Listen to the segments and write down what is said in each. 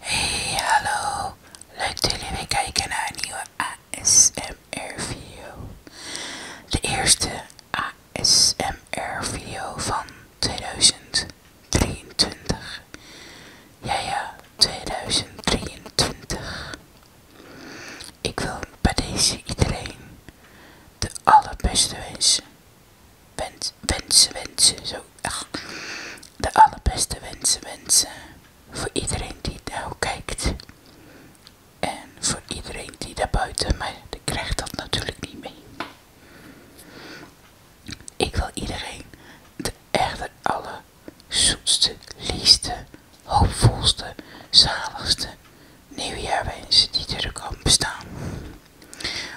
Hey, hallo. Leuk dat jullie weer kijken naar een nieuwe ASMR-video. De eerste ASMR-video van 2023. Ja, ja, 2023. Ik wil bij deze iedereen de allerbeste wensen. wensen, wensen, zo. echt de allerbeste wensen, wensen. Voor iedereen die daarop nou kijkt. En voor iedereen die daar buiten, maar die krijgt dat natuurlijk niet mee. Ik wil iedereen de echte alle zoetste, liefste hoopvolste, zaligste nieuwjaarwensen die er kan bestaan.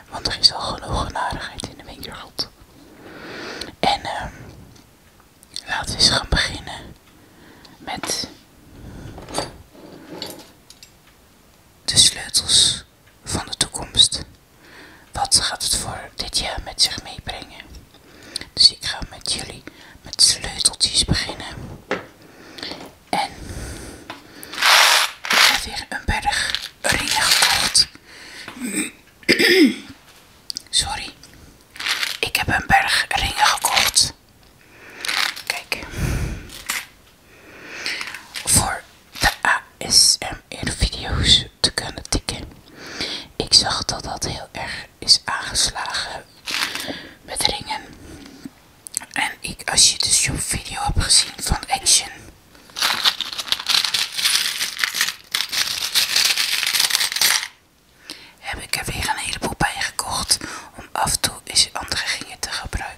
Want er is al genoeg in de wereld. En ehm, laten we eens gaan beginnen met de sleutels van de toekomst. Wat gaat het voor dit jaar met zich meebrengen? Dus ik ga met jullie met sleuteltjes beginnen. En ik heb weer een berg ringen gekocht. Sorry. Ik heb een berg ringen gekocht. Kijk. Voor de ASMR video's te kunnen tikken. Ik zag dat dat heel erg is aangeslagen met ringen. En ik, als je dus je video hebt gezien van Action. Heb ik er weer een heleboel bij gekocht om af en toe eens andere gingen te gebruiken.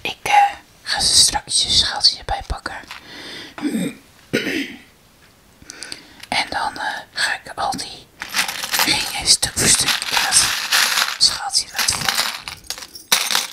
Ik eh, ga ze straks een schaaltje bij pakken. En dan eh, ga ik al die ringen stuk voor stuk in dat schaaltje laten vallen.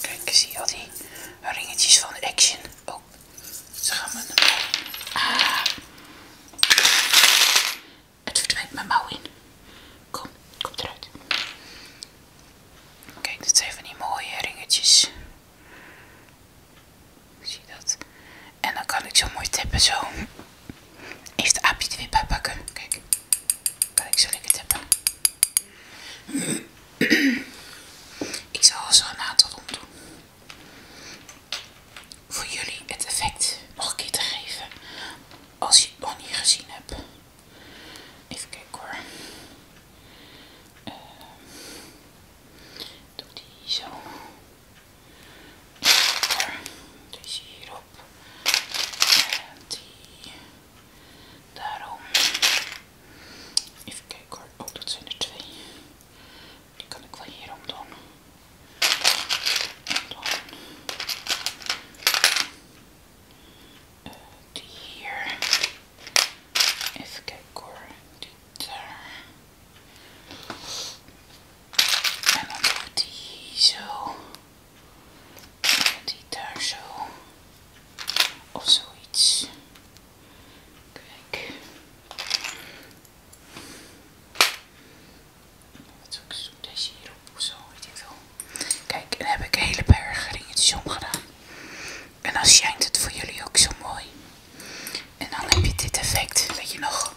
Kijk, zie je al die ringetjes van Action. Oh, ze gaan mijn... Ah. Het verdwijnt mijn mouw in. Kom, kom eruit. Kijk, dit zijn van die mooie ringetjes. Zie je dat? En dan kan ik zo mooi tippen zo. Eerst de aapje er weer pakken. Kijk. Kan ik zo lekker tippen. ik zal zo een aantal rond doen. Voor jullie het effect nog een keer te geven. Als je het nog niet gezien hebt. Even kijken hoor. Uh, doe die zo. hierop. En die daarom. Even kijken oh, zijn twee. Die kan ik wel om doen. Eh, hier. Even kijken hoor. die daar. En dan doe ik die zo. En die daar zo. Of zoiets. Kijk. Wat doe ik? Deze hierop of zo, weet ik veel. Kijk, dan heb ik een hele berg ringetjes omgedaan. En dan schijnt het voor jullie ook zo mooi. En dan heb je dit effect, met je nog?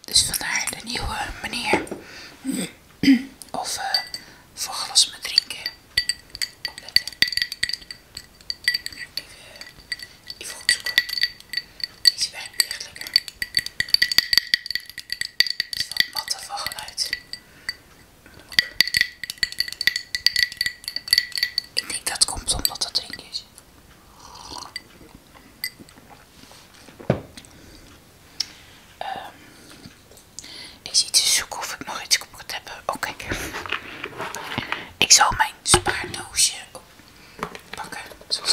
Dus vandaar de nieuwe manier. Of uh, glas met drinken. Opletten. Even, even goed zoeken. Deze wijn echt lekker. Het is wat matte van geluid. Ik denk dat komt omdat het drink is. Um, ik zit te zoeken of ik nog iets geproefd heb. Oké. Okay. Ik zal mijn spaardoosje pakken, zoals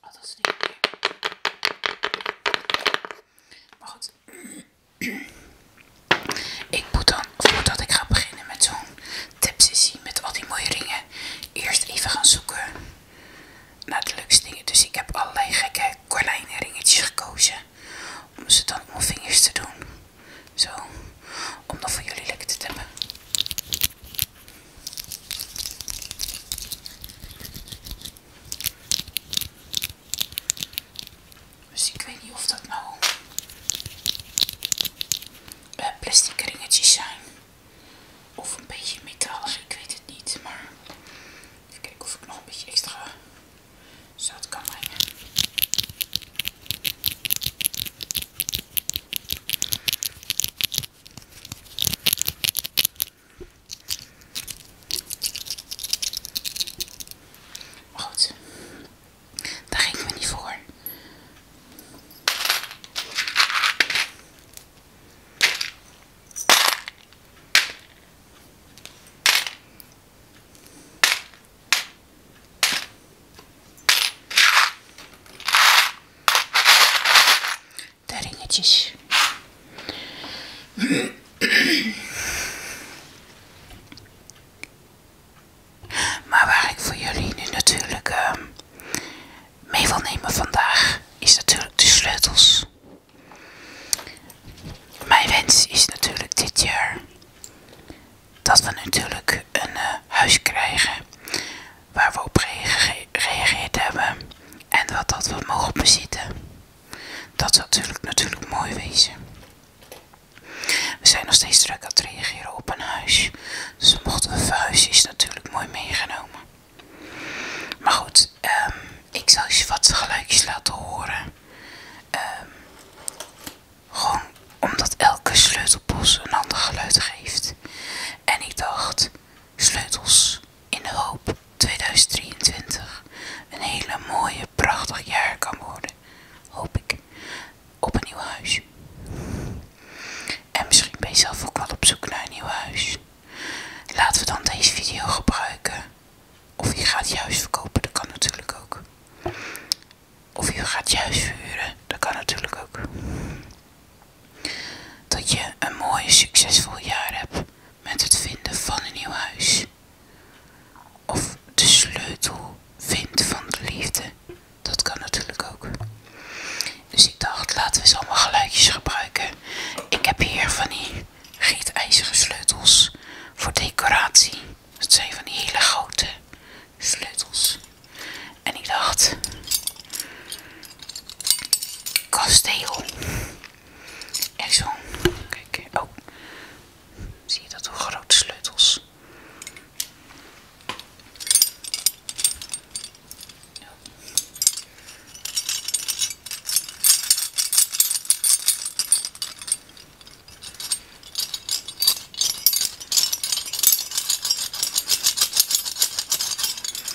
Altijd. Oh, dat Maar goed. Ik moet dan, voordat ik ga beginnen met zo'n tipsessie met al die mooie ringen, eerst even gaan zoeken naar de leukste dingen. Dus ik heb allerlei gekke ringetjes gekozen om ze dan op mijn vingers te doen. Zo, om dat voor jullie lekker te tappen. Dus ik weet niet of dat nou eh, plastic ringetjes zijn. Of een beetje metalig, ik weet het niet. Maar even kijken of ik nog een beetje extra zout kan brengen goed, daar ging me niet voor de ringetjes. Maar waar ik voor jullie nu natuurlijk ehm, mee wil nemen vandaag is natuurlijk de sleutels. Mijn wens is natuurlijk dit jaar dat we natuurlijk een eh, huis krijgen waar we op gereageerd hebben en wat dat we mogen bezitten. Dat zou natuurlijk, natuurlijk mooi wezen. We zijn nog steeds druk aan het reageren op een huis. Dus mochten we verhuizen is natuurlijk mooi meegenomen. Maar goed, ehm, ik zou je wat geluidjes laten horen. Ehm, gewoon omdat elke sleutelbos een ander geluid geeft. En ik dacht, Sleutels in de hoop 2023 een hele mooie, prachtig jaar kan worden, hoop ik, op een nieuw huis. En misschien ben je zelf ook wel op zoek naar een nieuw huis. Laten we dan deze video gebruiken. Of je gaat juist verkopen, dat kan natuurlijk ook. Of je gaat juist huis verhuren, dat kan natuurlijk ook. Dat je een mooi succesvol jaar hebt met het vinden van een nieuw huis. Of de sleutel vindt van de liefde. Dat kan natuurlijk ook. Dus ik dacht, laten we eens allemaal geluidjes gebruiken. Ik heb hier van die gietijzeren sleutels voor decoratie. Dat zijn van die hele grote sleutels. En ik dacht, kasteel. Echt zo. Kijk, oh. Zie je dat? Hoe grote sleutels.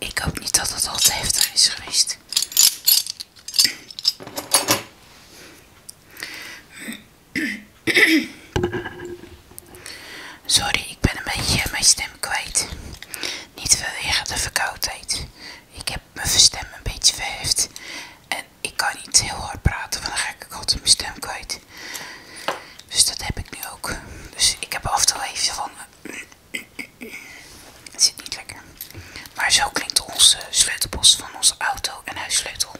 Ik hoop niet dat het al te heftig is geweest. Sorry, ik ben een beetje mijn stem kwijt. Niet vanwege de verkoudheid. Ik heb mijn stem een beetje verheft. En ik kan niet heel hard praten, want dan ga ik altijd mijn stem kwijt. Dus dat heb ik nu ook. Dus ik heb af en toe even van... Het zit niet lekker. Maar zo klinkt onze sleutelbos van onze auto en huissleutel.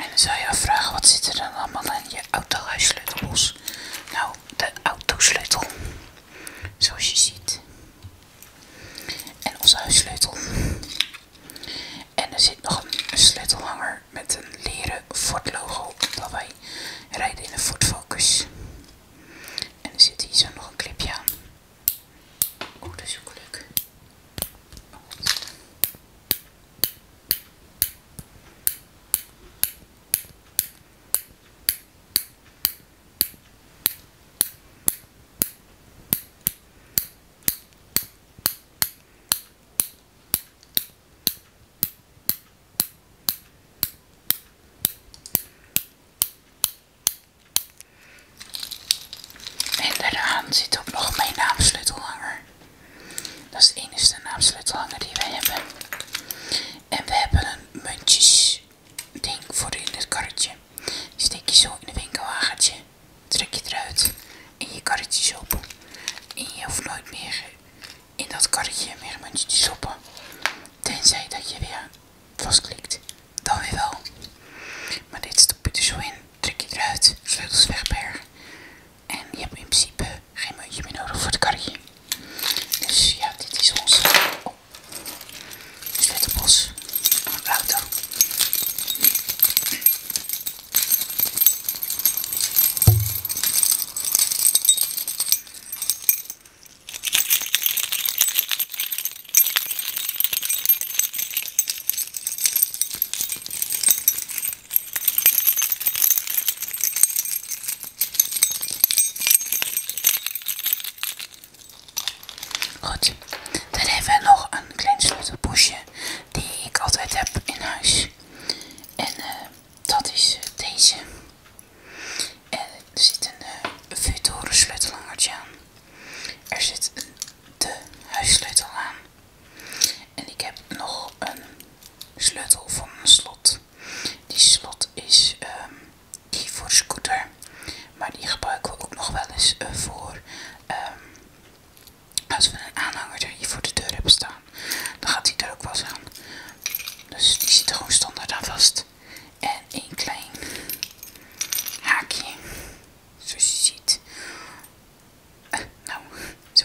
En dan zou je vragen, wat zit er dan allemaal in je autohuissleutelbos? Nou, de autosleutel. Zoals je ziet. En onze huissleutel. En er zit nog een sleutelhanger met een leren Ford logo. Dat wij rijden in een Ford Focus. En er zit hier zo nog een clipje aan. Oeh, dat is ook leuk. En daaraan zit ook nog mijn naamsleutelhanger. Dat is de enige naamsleutelhanger die we hebben. En we hebben een muntjes ding voor in het karretje. steek je zo in de winkelwagentje. Trek je eruit en je karretje op. En je hoeft nooit meer in dat karretje meer muntjes te Tenzij dat je weer vastklikt. Dan weer wel. Maar dit stop je er zo in. Trek je eruit. Sleutels wegbergen. En je hebt in principe geen muntje meer nodig voor de karretje. Dus ja, dit is ons oh. Eh, sleutelbos van de auto. Goed, dan hebben we nog een klein sleutelpoesje die ik altijd heb in huis. En eh, dat is eh, deze. er zit een uh, eh, vuurtoren aan. Er zit de huissleutel aan. En ik heb nog een sleutel van een slot. Die slot is ehm, die voor scooter, maar die gebruiken we ook nog wel eens eh, voor ehm, als we een aanhanger hier voor de deur hebben staan. Dan gaat die er ook wel aan. Dus die zit er gewoon standaard aan vast. En een klein haakje, zoals je ziet. Eh, nou, zo.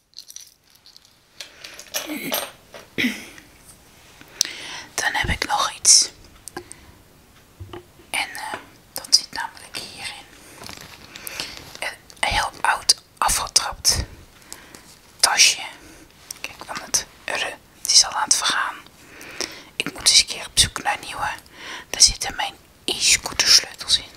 Dan heb ik nog iets. En eh, dat zit namelijk hierin. Een eh, heel oud afgetrapt tasje. Kijk dan het eh, Het is al aan het vergaan. Ik moet eens een keer op zoek naar nieuwe. Daar zitten mijn e-scooter sleutels in.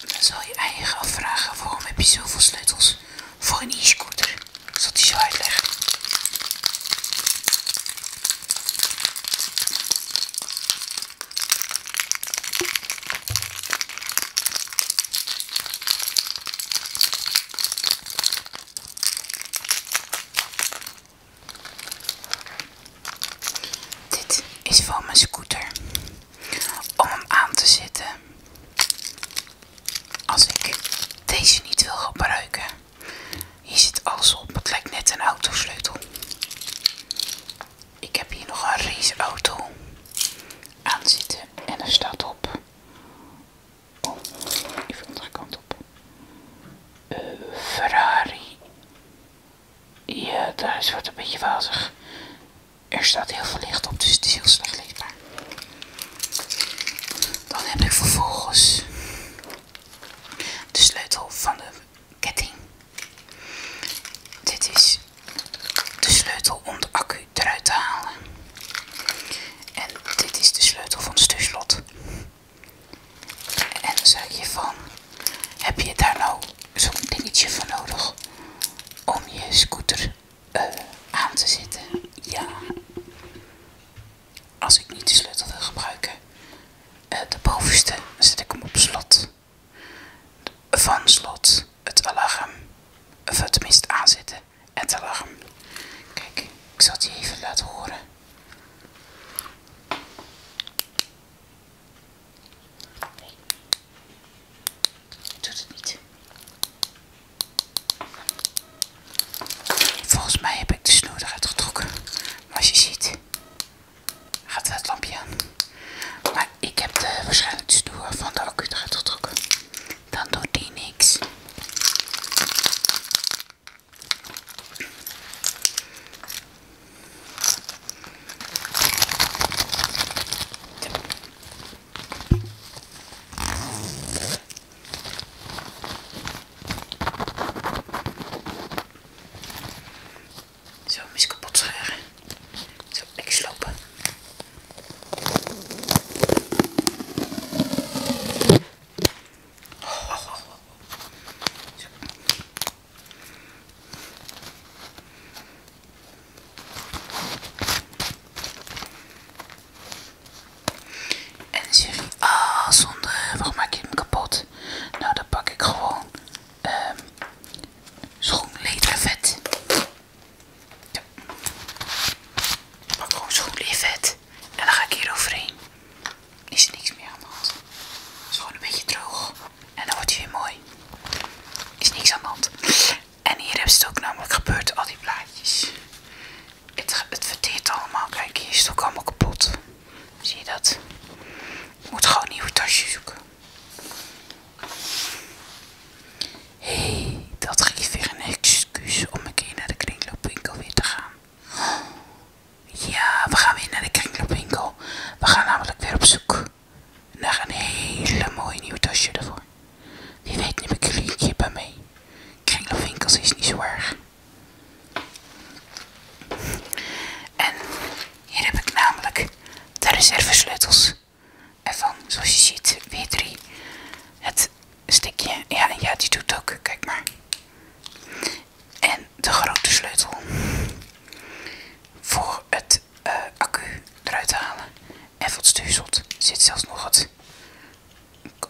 Dan zal je eigen afvragen waarom heb je zoveel sleutels voor een e-scooter. Zal die zo uitleggen. Dit is voor mijn scooter om hem aan te zetten. Als ik deze niet wil gebruiken, is zit alles op. Het lijkt net een autosleutel. Ik heb hier nog een raceauto aan zitten en er staat op Oh, even andere kant op. Eh, Ferrari. Ja, daar is wat een beetje wazig. Er staat heel veel licht op, dus het is heel slecht leesbaar. Dan heb ik vervolgens de sleutel van de ketting. Dit is de sleutel om de accu eruit te halen. En dit is de sleutel van het stuurslot. En dan je van, heb je daar nou zo'n dingetje van nodig om je scooter eh, aan te zetten? Ja. Als ik niet de sleutel wil gebruiken, eh, de bovenste zet ik hem op slot. Van slot het alarm, of het minst aanzetten, het alarm. Kijk, ik zal het je even laten horen. Nee, het het niet. Volgens mij heb ik de snoer eruit getrokken. Maar als je ziet, gaat het lampje aan. Maar ik heb de, waarschijnlijk de snoer van de accu eruit getrokken dan doet die niks. Zo, mis kapot scharen. Zo, ik slopen. En dan zeg je, ah zonde, waarom kapot? Nou dan pak ik gewoon um, ehm, schoon ledervet. Zo. pak gewoon zo'n lief vet. En dan ga ik hier overheen. Is er niks meer aan de hand. Het is gewoon een beetje droog. En dan wordt hij weer mooi. Is niks aan de hand. En hier hebben ze het ook namelijk gebeurd, al die plaatjes. Het, het verteert allemaal. Kijk, hier is het ook allemaal kapot. Zie je dat? Ik moet gewoon een nieuwe tasje zoeken. Hé, dat geeft weer een excuus om een keer naar de kringloopwinkel weer te gaan. Ja, we gaan weer naar de kringloopwinkel. We gaan namelijk weer op zoek naar een hele mooie nieuw tasje ervoor. Wie weet neem ik een liedje bij mee. Kringloopwinkels is niet zo erg. En hier heb ik namelijk de reserve sleutels. En van, zoals je ziet, weer drie. Het stikje, ja, ja, die doet ook, kijk maar. En de grote sleutel voor het eh, accu eruit halen. En voor het zit zelfs nog het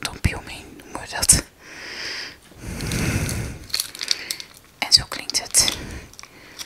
dopje omheen, noemen we dat. En zo klinkt het.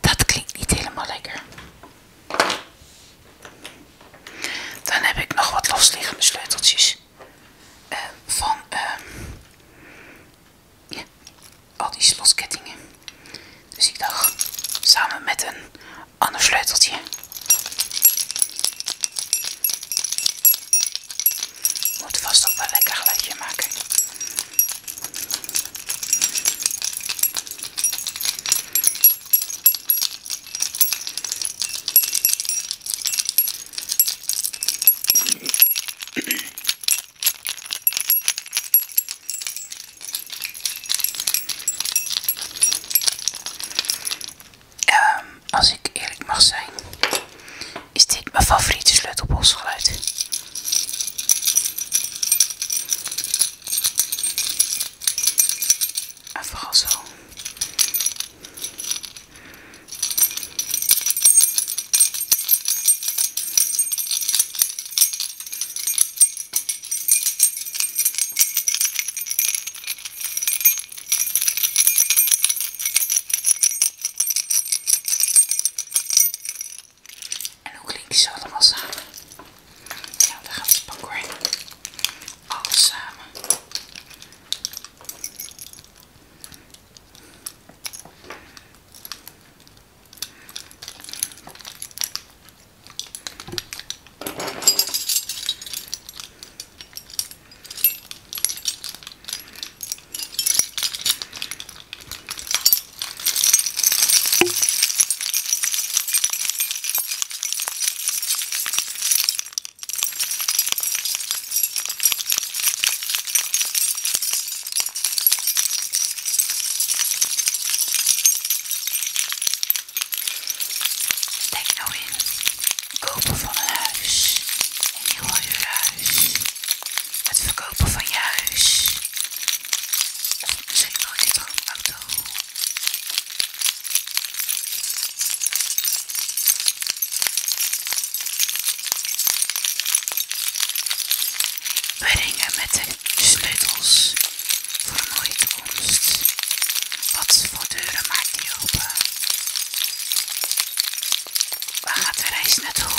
Dat klinkt niet helemaal lekker. Dan heb ik nog wat losliggende sleuteltjes. Eh, van ehm, al die slotkettingen. Dus ik dacht, samen met een ander sleuteltje. Moet vast ook wel lekker geluidje maken. Ehm, als ik eerlijk mag zijn, is dit mijn favoriete sleutelbosgeluid. En en hoe klinkt ze allemaal samen? Ja, gaan gaat het pak Alles samen. Denk nou in, kopen van een huis, een huis, het verkopen van je huis, Misschien We ringen met de sleutels voor een mooie toekomst. Wat voor deuren maakt die open? Waar gaat de reis naartoe?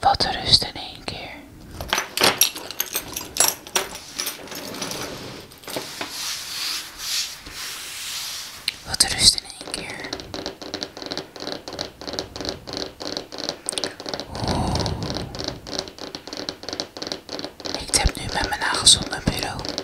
Wat oh. rust in één keer. Wat rust in één keer. Ik heb nu met mijn nagels op bureau.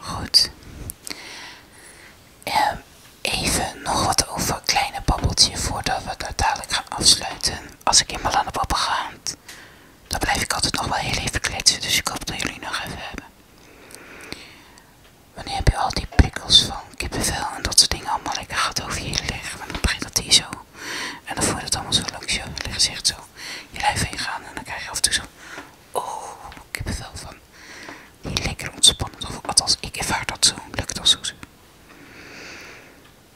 Goed. Ehm, even nog wat over kleine babbeltje voordat we het dadelijk gaan afsluiten. Als ik in aan de poppen ga dan blijf ik altijd nog wel heel even kletsen, dus ik hoop dat jullie nog even hebben. Wanneer heb je al die prikkels van kippenvel en dat soort dingen allemaal lekker gehad over je liggen, dan begint dat hij zo. En dan voelt het allemaal zo langs je gezicht zo je blijft heen gaan en dan krijg je af en toe zo, oh, kippenvel van. lekker ontspannend, of althans ik ervaar dat zo, lukt dat zo.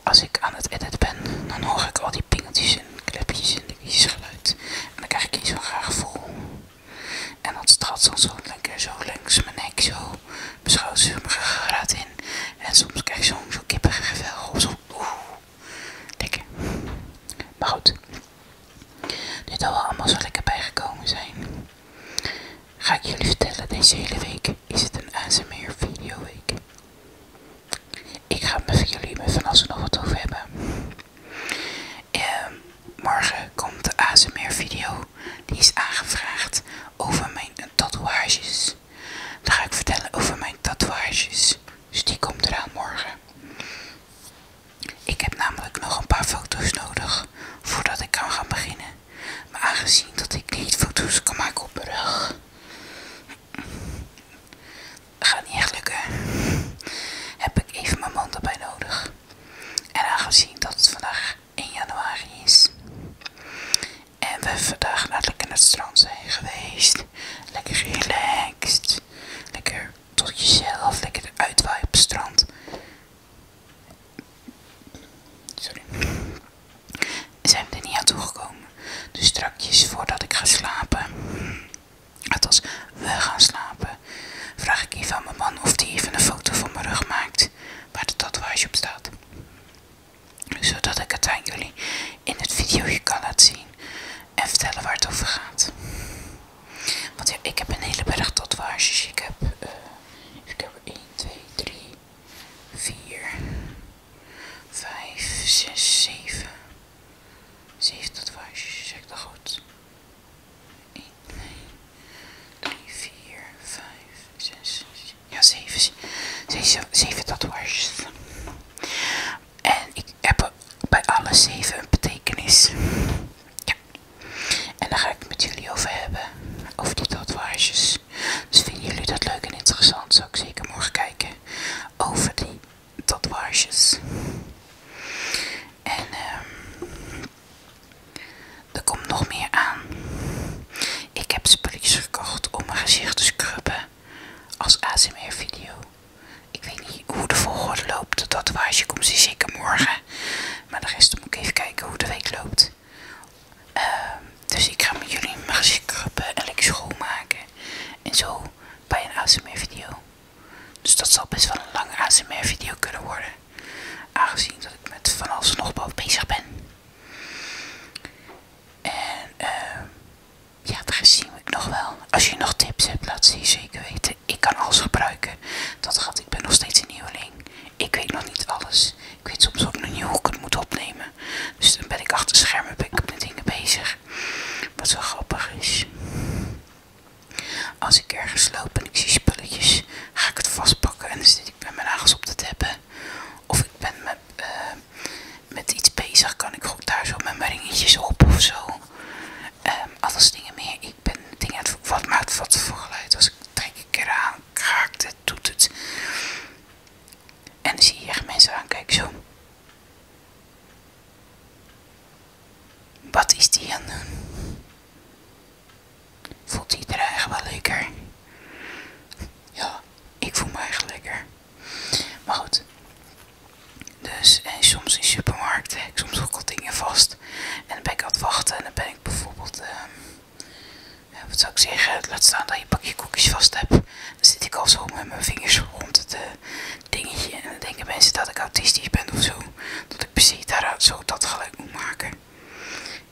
Als ik aan het edit ben, dan hoor ik al die pingetjes en klepjes en vieze geluid. En dan krijg ik iets zo'n graag gevoel. En dat straalt dan zo lekker zo langs mijn nek, zo beschouwt ze hem graad in. En soms krijg ik zo'n zo kippige gevel of zo. Oeh, lekker. Maar goed, nu dat we allemaal zo lekker bijgekomen zijn, ga ik jullie vertellen: deze hele week is het een ASMR video week. Ik ga het met jullie me als we nog wat over hebben. Ehm, morgen komt de ASMR video. Die is aangevraagd over mijn tatoeages. Daar ga ik vertellen over mijn tatoeages. Dus die komt er eraan morgen. Ik heb namelijk nog een paar foto's nodig voordat ik kan gaan beginnen. Maar aangezien dat ik niet foto's kan maken op mijn rug, Ga niet echt lukken. Heb ik even mijn mond erbij nodig. En aangezien dat het vandaag 1 januari is. En we vandaag naar lekker naar het strand zijn geweest. Lekker relaxed. Lekker tot jezelf. Lekker uitwaaien op het strand. Sorry zijn we er niet aan toegekomen. Dus strakjes voordat ik ga slapen, als we gaan slapen, vraag ik even aan mijn man of hij even een foto van mijn rug maakt waar de tatoeage op staat. Zodat ik het aan jullie in het videoje kan laten zien en vertellen waar het over gaat. Want ja, ik heb een hele berg tatoeages. Ik heb, ik heb 1, 2, 3, 4, vijf, zes, zeven. Zeven dat zeg ik dat goed. 1, 2, 3, 4, 5, 6, ja 7, 7, 7 tatoeages. En ik heb bij alle 7 een betekenis. Ja. En daar ga ik het met jullie over hebben, over die tatoeages. Dus vinden jullie dat leuk en interessant, zou ik zeker morgen kijken over die tatoeages. En ehm, er komt nog meer aan. Ik heb spulletjes gekocht om mijn gezicht te scrubben als ASMR video. Ik weet niet hoe de volgorde loopt. De tatoeage komt zeker morgen. Maar de rest moet ik even kijken hoe de week loopt. Ehm, dus ik ga met jullie mijn gezicht krabben en schoonmaken. En zo bij een ASMR video. Dus dat zal best wel een lange ASMR video kunnen worden. Aangezien dat ik met van alles nog boven bezig ben. En ehm, ja, daar zien we ik nog wel. Als je nog tips hebt, laat ze je zeker weten. Ik kan alles gebruiken. Dat gaat, ik ben nog steeds een nieuweling. Ik weet nog niet alles. Ik weet soms ook nog niet hoe ik het moet opnemen. Dus dan ben ik achter schermen ben ik met dingen bezig. Wat zo grappig is. Als ik ergens loop en ik zie spulletjes, ga ik het vastpakken en dan zit ik met mijn nagels op te tappen. Of ik ben met, eh, iets bezig, kan ik goed daar zo met mijn ringetjes op of zo. Ehm, alles dingen meer. Ik ben dingen wat maakt wat voor geluid. Als ik trek een keer aan, kraakt het, doet het. En dan zie je echt mensen aankijken zo. Wat is die aan het doen? Voelt die er eigenlijk wel lekker? Ja, ik voel me eigenlijk lekker. Maar goed. Dus, en soms in supermarkten, ik soms ook al dingen vast. En dan ben ik aan het wachten en dan ben ik bijvoorbeeld... Ehm, wat zou ik zeggen, laat staan dat je een pakje koekjes vast hebt. Dan zit ik al zo met mijn vingers rond het eh, dingetje. En dan denken mensen dat ik autistisch ben of zo. Dat ik precies daaruit zo dat geluid moet maken.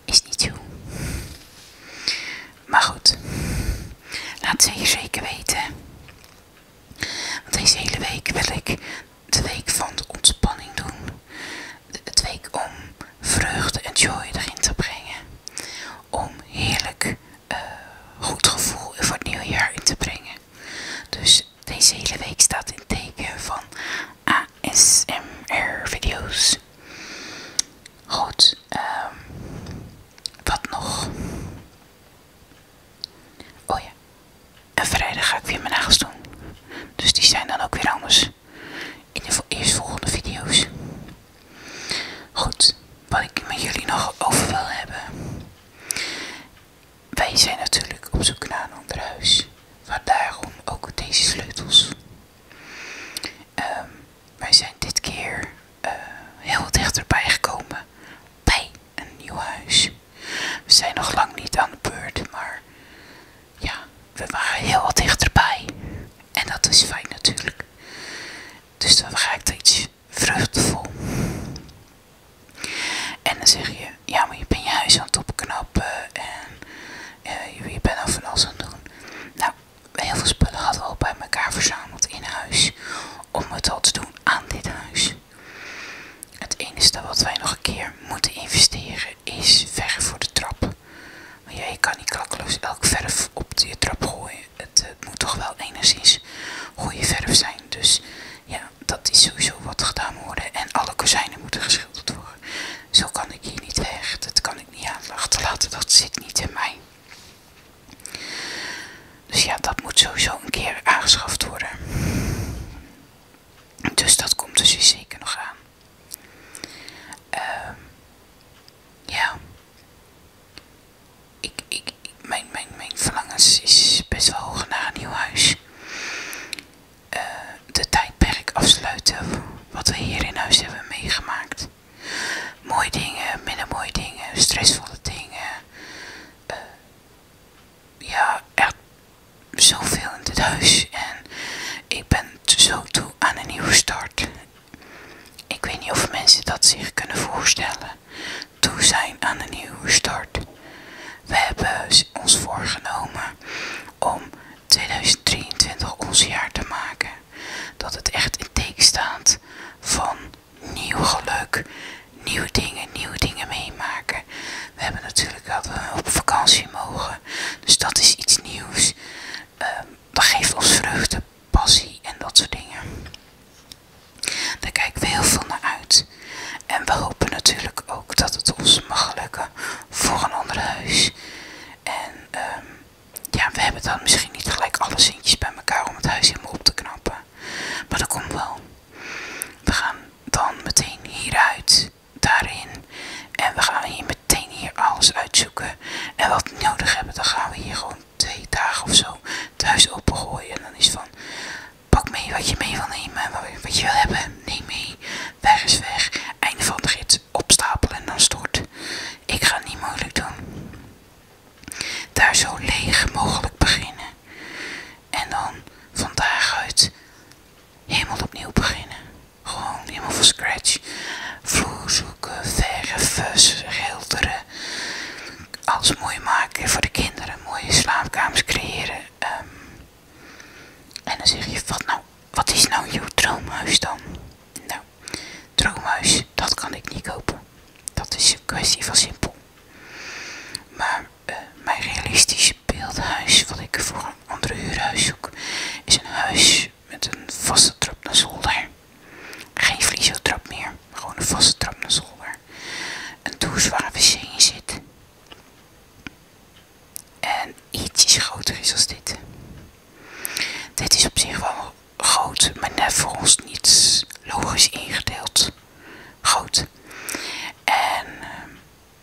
Is niet zo. Maar goed, laat het je zeker weten. Want deze hele week wil ik de week van ontspanning doen. De, het week om vreugde en joy erin te brengen om heerlijk eh, goed gevoel voor het nieuwe jaar in te brengen. Dus deze hele week staat in teken van ASMR video's. Goed, ehm, wat nog? Oh ja, en vrijdag ga ik weer mijn nagels doen. Dus die zijn dan ook weer anders in de eerstvolgende video's. Goed, wat ik met jullie nog over wil hebben. Wij zijn natuurlijk op zoek naar een ander huis. daarom ook deze sleutels. Ehm, wij zijn dit keer eh, heel dichterbij gekomen bij een nieuw huis. We zijn nog lang niet aan de beurt, maar ja, we waren heel wat dichterbij. En dat is fijn natuurlijk. Dus dan dat iets vruchtvol. En dan zeg je, ja maar je bent je huis aan het opknappen en eh, je, bent al van alles aan het doen. Nou, heel veel spullen hadden we al bij elkaar verzameld in huis om het al te doen aan dit huis. Het enige wat wij nog een keer moeten investeren is ver voor de trap ja, je kan niet klakkeloos elk verf op je trap gooien. Het, eh, moet toch wel enigszins goede verf zijn. Dus ja, dat is sowieso wat gedaan moet worden. En alle kozijnen moeten geschilderd worden. Zo kan ik hier niet weg. Dat kan ik niet laten Dat zit niet in mij. Dus ja, dat moet sowieso een keer aangeschaft worden. Dus dat komt dus zeker nog aan. Ehm ja mijn, mijn, is best wel hoog naar een nieuw huis. Uh, de tijdperk afsluiten wat we hier in huis hebben meegemaakt. Mooie dingen, minder mooie dingen, stressvolle dingen. Eh, ja, echt zoveel in dit huis. En ik ben zo toe aan een nieuwe start. Ik weet niet of mensen dat zich kunnen voorstellen. Toe zijn aan een nieuwe start. We hebben ons voorgenomen om 2023 ons jaar te maken. Dat het echt in teken staat van nieuw geluk, nieuwe dingen, nieuwe dingen meemaken. We hebben natuurlijk dat we op vakantie mogen. Dus dat is iets nieuws. Ehm, dat geeft ons vreugde, passie en dat soort dingen. Daar kijken we heel veel naar uit. En we hopen natuurlijk ook dat het ons mag lukken voor een ander huis. En ehm, ja, we hebben dan misschien niet gelijk alle zintjes bij elkaar om het huis helemaal op te knappen. Maar dat komt wel. We gaan dan meteen hieruit, daarin. En we gaan hier meteen meteen hier alles uitzoeken. En wat we nodig hebben, dan gaan we hier gewoon twee dagen of zo thuis opengooien. En dan is van, pak mee wat je mee wil nemen, wat je wil hebben, neem mee. Weg is weg. Einde van de gids. Opstapelen en dan stort. Ik ga het niet moeilijk doen. Daar zo leeg mogelijk beginnen. En dan vandaag daaruit helemaal opnieuw beginnen. Gewoon helemaal van scratch. Vloer zoeken, vergen, fussen, schilderen. Alles mooi maken voor de kinderen. Mooie slaapkamers creëren. Ehm, en dan zeg je, wat, nou, wat is nou jouw droomhuis dan? Nou, droomhuis, dat kan ik niet kopen. Dat is een kwestie van simpel. Maar eh, mijn realistische beeldhuis, wat ik voor een andere huurhuis zoek, is een huis met een vaste trap naar zolder. Geen vliezeltrap meer, gewoon een vaste trap naar zolder. Een douche waar wc zit. En ietsjes groter is als dit. Dit is op zich wel groot, maar net volgens niets logisch ingedeeld. Groot. En ehm,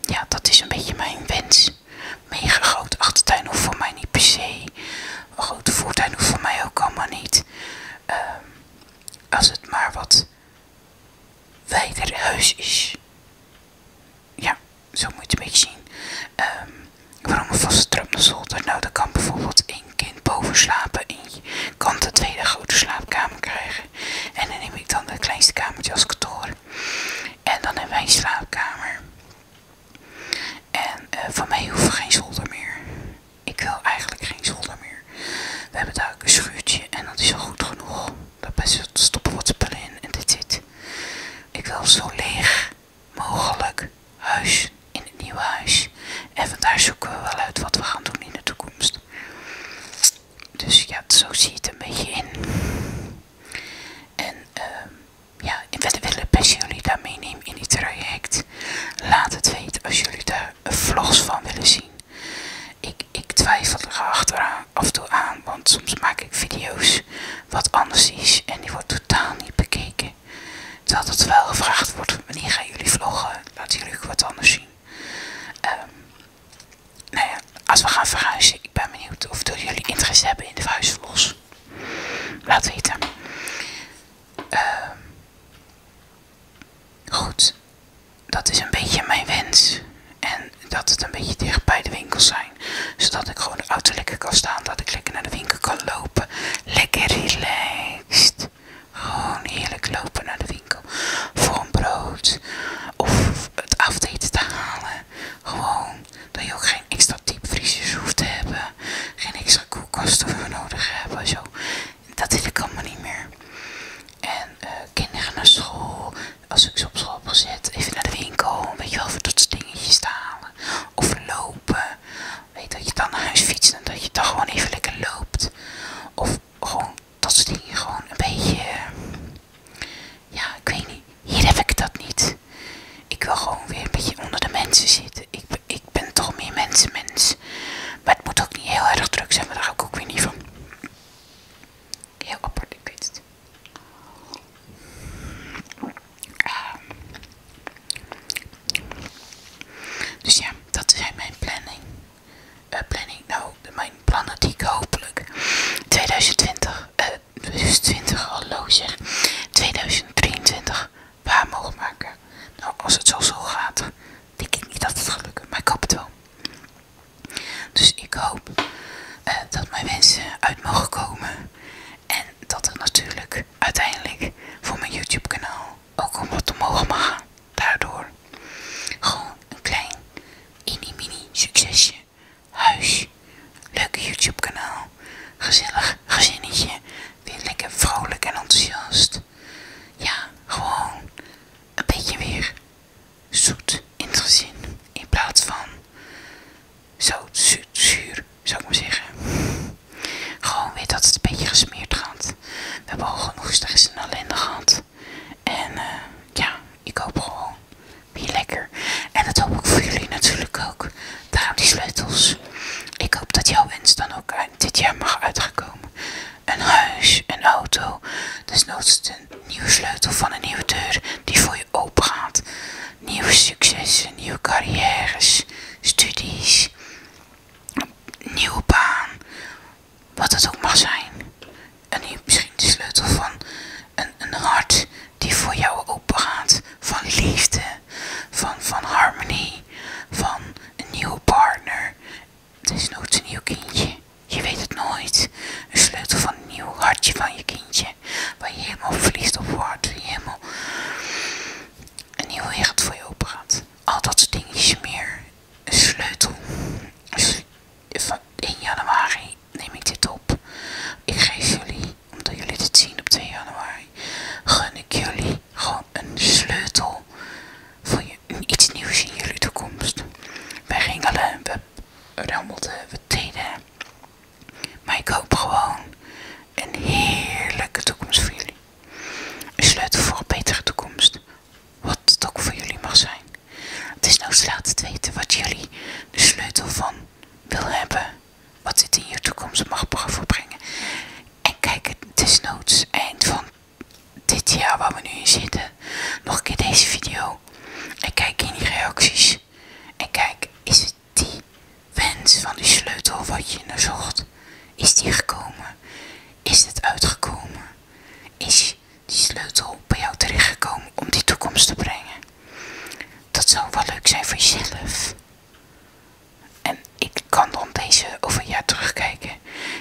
ja, dat is een beetje mijn wens mega grote achtertuin hoeft voor mij niet per se. Een grote voortuin hoeft voor mij ook allemaal niet. Ehm, als het maar wat wijder huis is. Ja, zo moet je het een beetje zien. waarom ehm, een vaste trap naar zolder? Nou, dan kan bijvoorbeeld één kind boven slapen en je kan de tweede grote slaapkamer krijgen. En dan neem ik dan de kleinste kamertje als kantoor. En dan hebben wij een slaapkamer. En eh, van mij hoeft geen zolder meer. Ik wil eigenlijk geen zolder meer. We hebben daar een schuurtje en dat is al goed genoeg. Daar stoppen wat spullen in en dit zit. Ik wil zo leeg mogelijk huis in het nieuwe huis. En vandaag zoeken we wel uit wat we gaan doen in de toekomst. Dus ja, zo ziet het een beetje in. En eh ja, wat willen best jullie daar meenemen in dit traject. Laat het weten als jullie daar vlogs van willen zien. Ik, ik twijfel er af en toe aan, want soms maak ik video's wat anders is en die wordt totaal niet bekeken. Terwijl het wel gevraagd wordt, wanneer gaan jullie vloggen? Laten jullie ook wat anders zien. Ehm nou ja, als we gaan verhuizen, ik ben benieuwd of jullie interesse hebben in de verhuisvlogs. Laat weten. Ehm. goed, dat is een beetje mijn wens. En dat het een beetje dicht bij de winkel zijn. Zodat ik gewoon de auto lekker kan staan. Dat ik lekker naar de winkel kan lopen. Lekker relaxed. Gewoon heerlijk lopen naar de winkel. Voor een brood. Of het afdeten te halen. Gewoon dat je ook geen extra diepvriezers hoeft te hebben, geen extra koelkasten voor nodig hebben, zo. Dat wil ik allemaal niet meer. En eh, kinderen naar school, als ik ze op school zet, even naar de winkel, weet je wel, voor dat soort dingetjes te halen. Of lopen, weet dat je dan naar huis fietst en dat je dan gewoon even lekker loopt. Of gewoon dat soort dingen, gewoon een beetje, ja, ik weet niet. Hier heb ik dat niet. Ik wil gewoon weer een beetje onder de mensen zitten. Ik, ik ben toch meer mensenmens. Maar het moet ook niet heel erg druk zijn, maar daar hou ik ook weer niet van. Heel apart, ik weet het. Ah. Dus ja, dat zijn mijn planning. Eh, planning, nou, mijn plannen die ik hopelijk 2020, dus 20 zeg 2023 waar mogen maken. Nou, als het zo zo gaat, denk ik niet dat het gelukt maar ik hoop het wel. Dus ik hoop eh, dat mijn wensen uit mogen komen. En dat er natuurlijk uiteindelijk voor mijn YouTube kanaal ook om wat omhoog mogen gaan. Daardoor gewoon een klein, mini mini succesje Huis. leuke YouTube kanaal. Gezellig gezinnetje. Weer lekker vrolijk en enthousiast. Ja, gewoon een beetje weer zoet in het gezin. In plaats van zo zuur, zuur zou ik maar zeggen. Gewoon weer dat het een beetje gesmeerd gaat. We hebben al genoeg stress in ellende gehad. En eh, ja, ik hoop gewoon weer lekker. En dat hoop ik voor jullie natuurlijk ook. Daarom die sleutels. Ik hoop dat jouw wens dan ook dit jaar mag uitgekomen. Een huis, een auto, desnoods een nieuwe sleutel van een nieuwe deur die voor je open gaat. Nieuwe successen, nieuwe carrières, studies, nieuwe baan, wat het ook mag zijn. En misschien de sleutel van een, een hart die voor jou opengaat. Van liefde, van, van harmonie, van een nieuwe partner. Het is nooit een nieuw kindje. Je weet het nooit. Een sleutel van een nieuw hartje van je kindje. Waar je helemaal verliest op wordt. Je helemaal een nieuwe wereld voor je open Al dat soort dingetjes meer. Een sleutel. Van 1 januari neem ik dit op. Ik geef jullie omdat jullie dit zien op 2 januari, gun ik jullie gewoon een sleutel voor iets nieuws in jullie toekomst. Wij ringelen, we rammelden, we deden. Maar ik hoop gewoon een heerlijke toekomst voor jullie. Een sleutel voor een betere toekomst. Wat het ook voor jullie mag zijn. Het is nou laat het weten wat jullie de sleutel van wil hebben wat dit in je toekomst mag voorbrengen. En kijk het desnoods eind van dit jaar waar we nu in zitten, nog een keer deze video. En kijk in die reacties. En kijk, is die wens van die sleutel wat je naar zocht? Is die gekomen? Is het uitgekomen? Is die sleutel bij jou terechtgekomen om die toekomst te brengen? Dat zou wel leuk zijn voor jezelf. En ik kan dan deze over jaar terugkijken.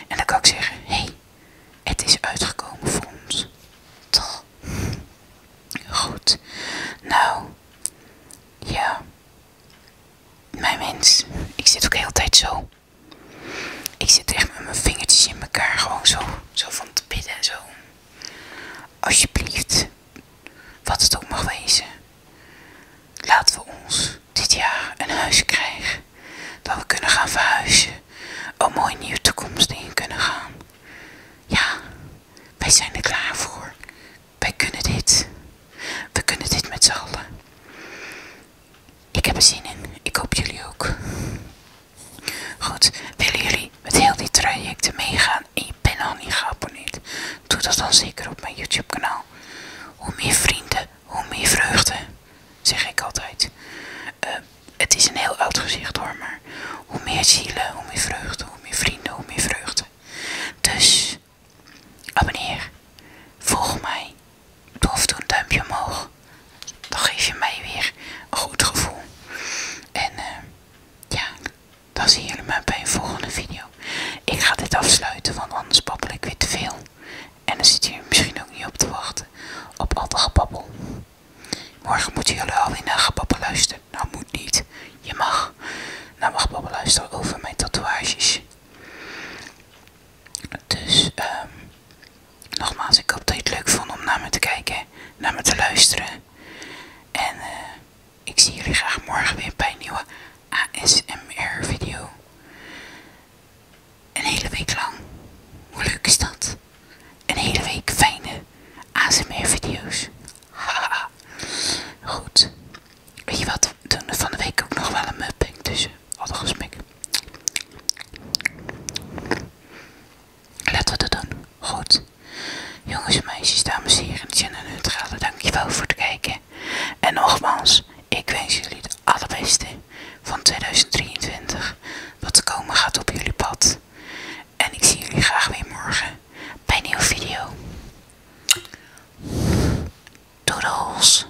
En dan kan ik zeggen, hé, hey, het is uitgekomen voor ons. Toch? Goed. Nou, ja. Mijn mens, ik zit ook de tijd zo. Ik zit echt met mijn vingertjes in elkaar, gewoon zo, zo van te bidden zo. Alsjeblieft, wat het ook mag wezen. Laten we ons dit jaar een huis krijgen, dat we kunnen gaan verhuizen, een mooie nieuwe toekomst in kunnen gaan. Ja, wij zijn er klaar voor. Wij kunnen dit. We kunnen dit met z'n allen. Ik heb er zin in. Ik hoop jullie ook. Goed, willen jullie met heel die trajecten meegaan in ben al niet geabonneerd, doe dat dan zeker op mijn YouTube kanaal. Hoe meer vrienden, hoe meer vreugde, zeg ik altijd. Eh, het is een heel oud gezicht hoor, maar hoe meer zielen, hoe meer vreugde, hoe meer vrienden, hoe meer vreugde. Dus, abonneer, volg mij, doe of doe een duimpje omhoog. Dan geef je mij weer een goed gevoel. En eh, ja, dan zien jullie mij bij een volgende video. Ik ga dit afsluiten, want anders babbel ik weer te veel. En dan zit je misschien ook niet op te wachten op al te gebabbel. Morgen moeten jullie alweer naar gebabbel luisteren. Nou moet niet. Je mag. Nou mag babbel luisteren over mijn tatoeages. Dus, ehm nogmaals, ik hoop dat je het leuk vond om naar me te kijken, naar me te luisteren. En, eh. Ik zie jullie graag morgen weer bij een nieuwe ASMR video. Een hele week lang. Hoe leuk is dat? Een hele week fijne ASMR video's. Goed. Weet je wat? doen van de week ook nog wel een mupping tussen. Wat een Laten we dat doen. Goed. Jongens en meisjes, dames en heren, dit zijn de neutrale. Dankjewel voor het kijken. En nogmaals, ik wens jullie het allerbeste van 2023. Wat te komen gaat op jullie pad. En ik zie jullie graag weer morgen bij een nieuwe video. Doodles!